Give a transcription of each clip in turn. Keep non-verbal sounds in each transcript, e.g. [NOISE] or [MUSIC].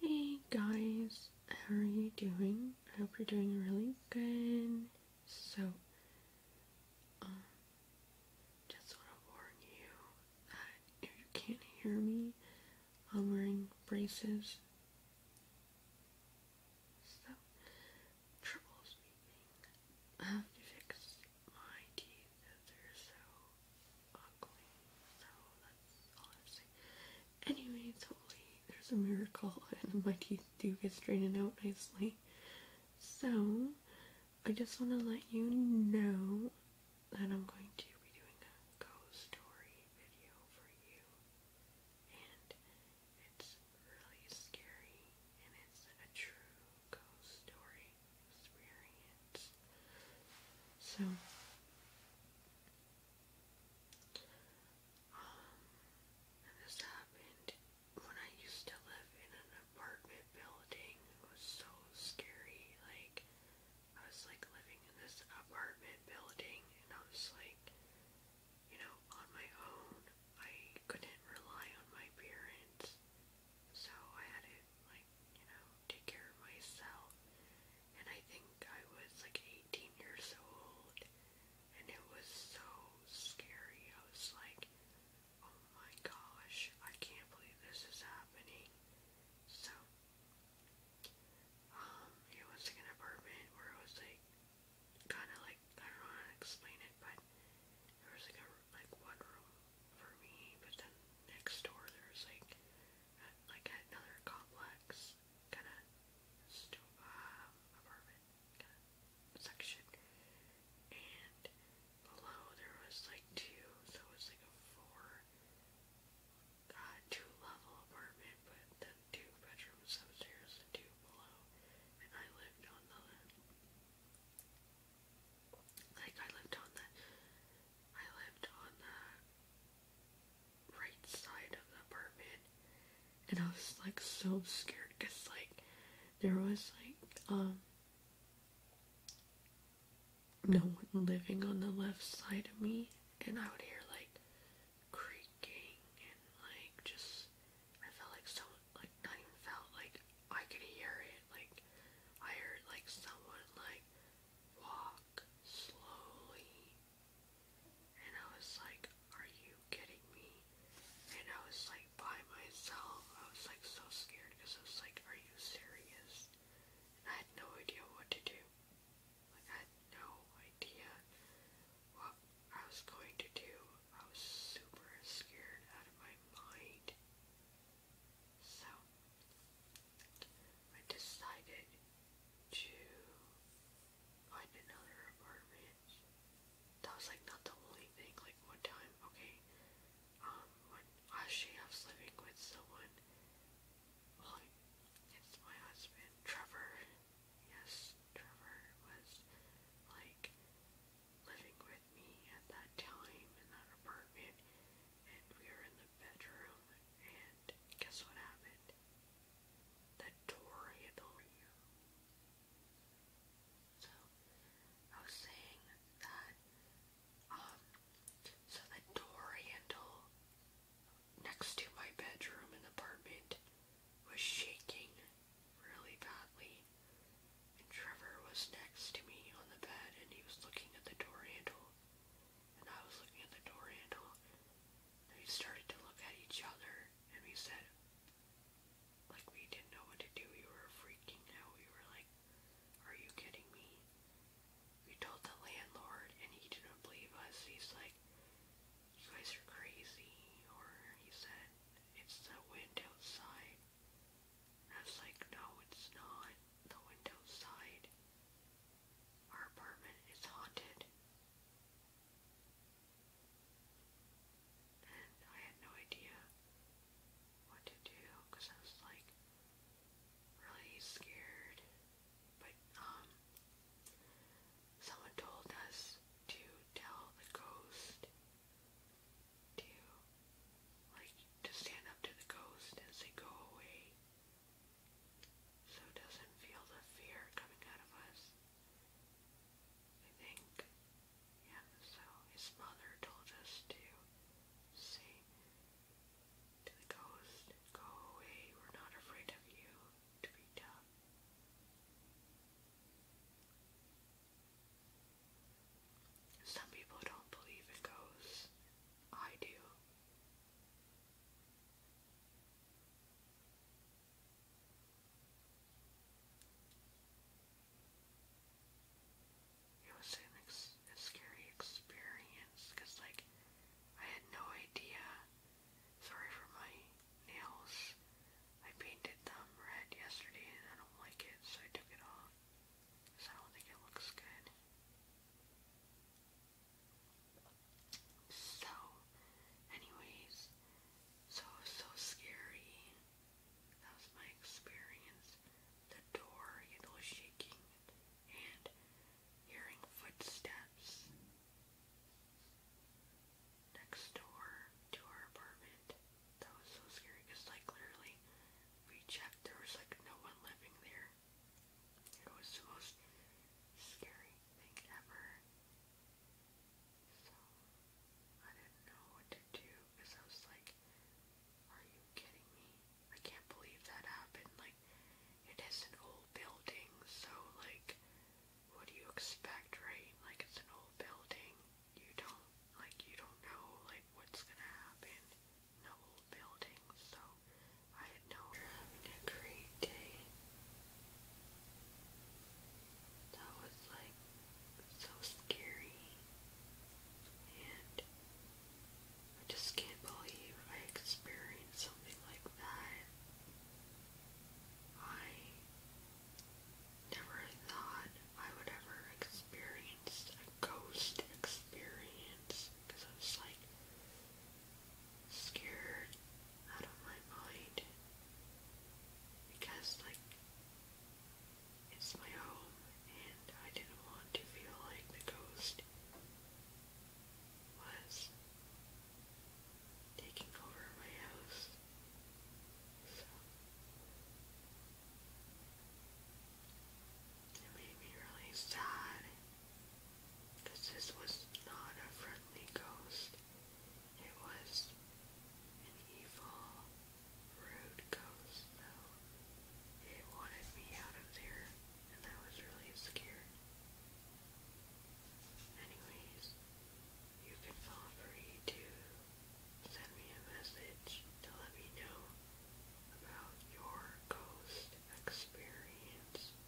Hey guys, how are you doing? I hope you're doing really good. So, um, just want to warn you that if you can't hear me, I'm wearing braces. So, triple I have to fix my teeth they're so Anyway, So that's there's a miracle [LAUGHS] and my teeth do get straightened out nicely. So I just want to let you know that I'm going to be doing a ghost story video for you. And it's really scary and it's a true ghost story experience. So um, this happened when I used to live in an apartment building. It was so scary. Like, I was like living in this apartment building, and I was like, you know, on my own. I couldn't rely on my parents, so I had to, like, you know, take care of myself. And I think I was like 18 years old, and it was so scary. I was like, oh my gosh, I can't believe this is happening. So, um, it was like an apartment where it was like, kind of like, I don't know to explain it, but there was like a, like one room for me, but then next door there was like like at another complex kind of um, apartment kind of section, and below there was like two, so it was like a four, uh, two level apartment, but then two bedrooms upstairs and two below, and I lived on the like I lived on the I lived on the right side of the apartment, and I was like so scared because like there was like um no one living on the left side of me, and I would hear like creaking and like just I felt like so like not even felt like I could hear it like I heard like someone like walk slowly. And I was like, are you kidding me? And I was like by myself. I was like so scared because I was like, are you serious? And I had no idea what to do. Like I had no idea what I was going to do. I was super scared out of my mind. So I decided to find another apartment. That was like not the only thing. Like one time, okay, um, actually I was living with someone. it's my husband, Trevor. Yes, Trevor was like living with me at that time in that apartment, and we were in the bedroom, and guess what happened? The door handle. So, I was saying that, um, so the door handle next to my bedroom in the apartment was shaking really badly. And Trevor was next to me on the bed and he was looking at the door handle and I was looking at the door handle, we started to look at each other, and we said, like, we didn't know what to do. We were freaking out. We were like, are you kidding me? We told the landlord, and he didn't believe us. He's like, you guys are crazy, or he said, it's the wind outside. And I was like, no, it's not the wind outside. Our apartment is haunted. And I had no idea what to do because I was like really scared. But, um, someone told us to tell the ghost to, like, to stand up to the ghost and say, go away so doesn't feel the fear coming out of us. I think, yeah, so his mother told us to say to the ghost, go away, we're not afraid of you, to be tough. Some people don't believe in ghosts. I do. It was a scary experience because, like, I had no idea. Sorry for my nails. I painted them red yesterday and I don't like it, so I took it off. Because I don't think it looks good. So, anyways, so, so scary. That was my experience. The door, you know, shaking and hearing footsteps next door to our apartment. That was so scary because, like, literally, we checked, there was like no one living there. It was the most scary thing ever. So I didn't know what to do because I was like, are you kidding me? I can't believe that happened. Like, it is an old building, so like, what do you expect, right? Like, it's an old building. You don't, like, you don't know, like, what's gonna happen no buildings, so I had no having a great day. That was like so scary, and I just can't believe I experienced something like that. I never thought I would ever experience a ghost experience because I was like, scared out of my mind because, like, it's my home and I didn't want to feel like the ghost was taking over my house. So. It made me really sad because this was not a friendly ghost. It was an evil, rude ghost, so it wanted me out of there, and I was really scared. Anyways, you can feel free to send me a message to let me know about your ghost experience.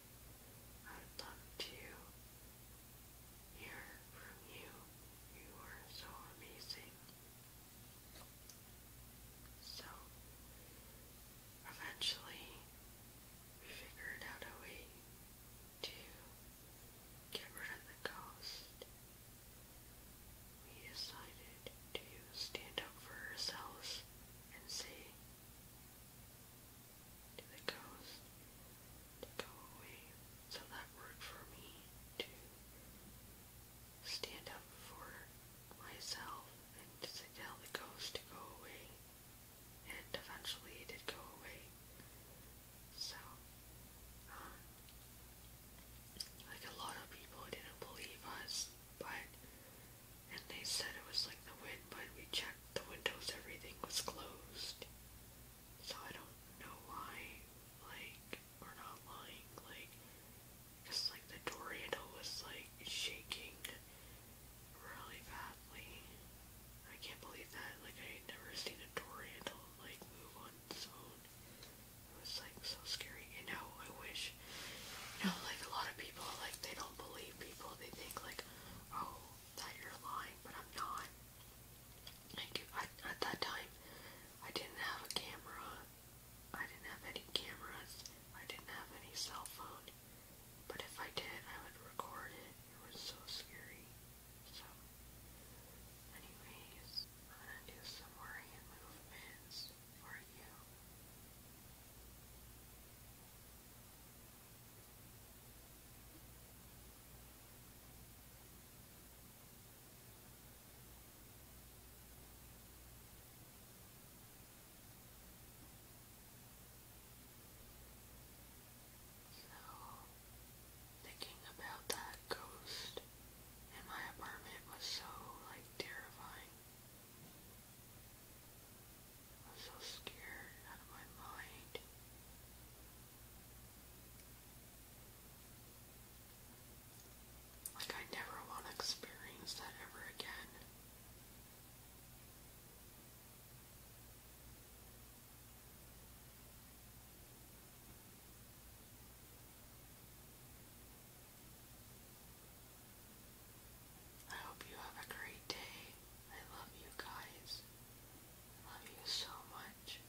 I'd love to hear from you. You are so amazing. So, eventually, we figured out a way to get rid of the ghost. We decided to stand up for ourselves and say, to the coast to go away. So that worked for me to stand up for myself and tell the ghost to go away. And eventually it did go away. So, um, like a lot of people didn't believe us, but and they said it was like the wind, but we checked the windows, everything was closed. So I don't know why, like, we're not lying, like, because, like, the door handle was, like, shaking really badly. I can't believe that, like, I never seen a door handle, like, move on its own. It was, like, so scary. And now I wish you know, like a lot of people, like they don't believe people. They think like, oh, that you're lying, but I'm not. Like at that time, I didn't have a camera. I didn't have any cameras. I didn't have any cell phone. But if I did, I would record it. It was so scary. So, anyways, I'm gonna do some worrying movements for you. thinking about that ghost in my apartment was so like terrifying. I am so scared out of my mind. Like, I never want to experience that ever again. I hope you have a great day. I love you guys. I love you so much.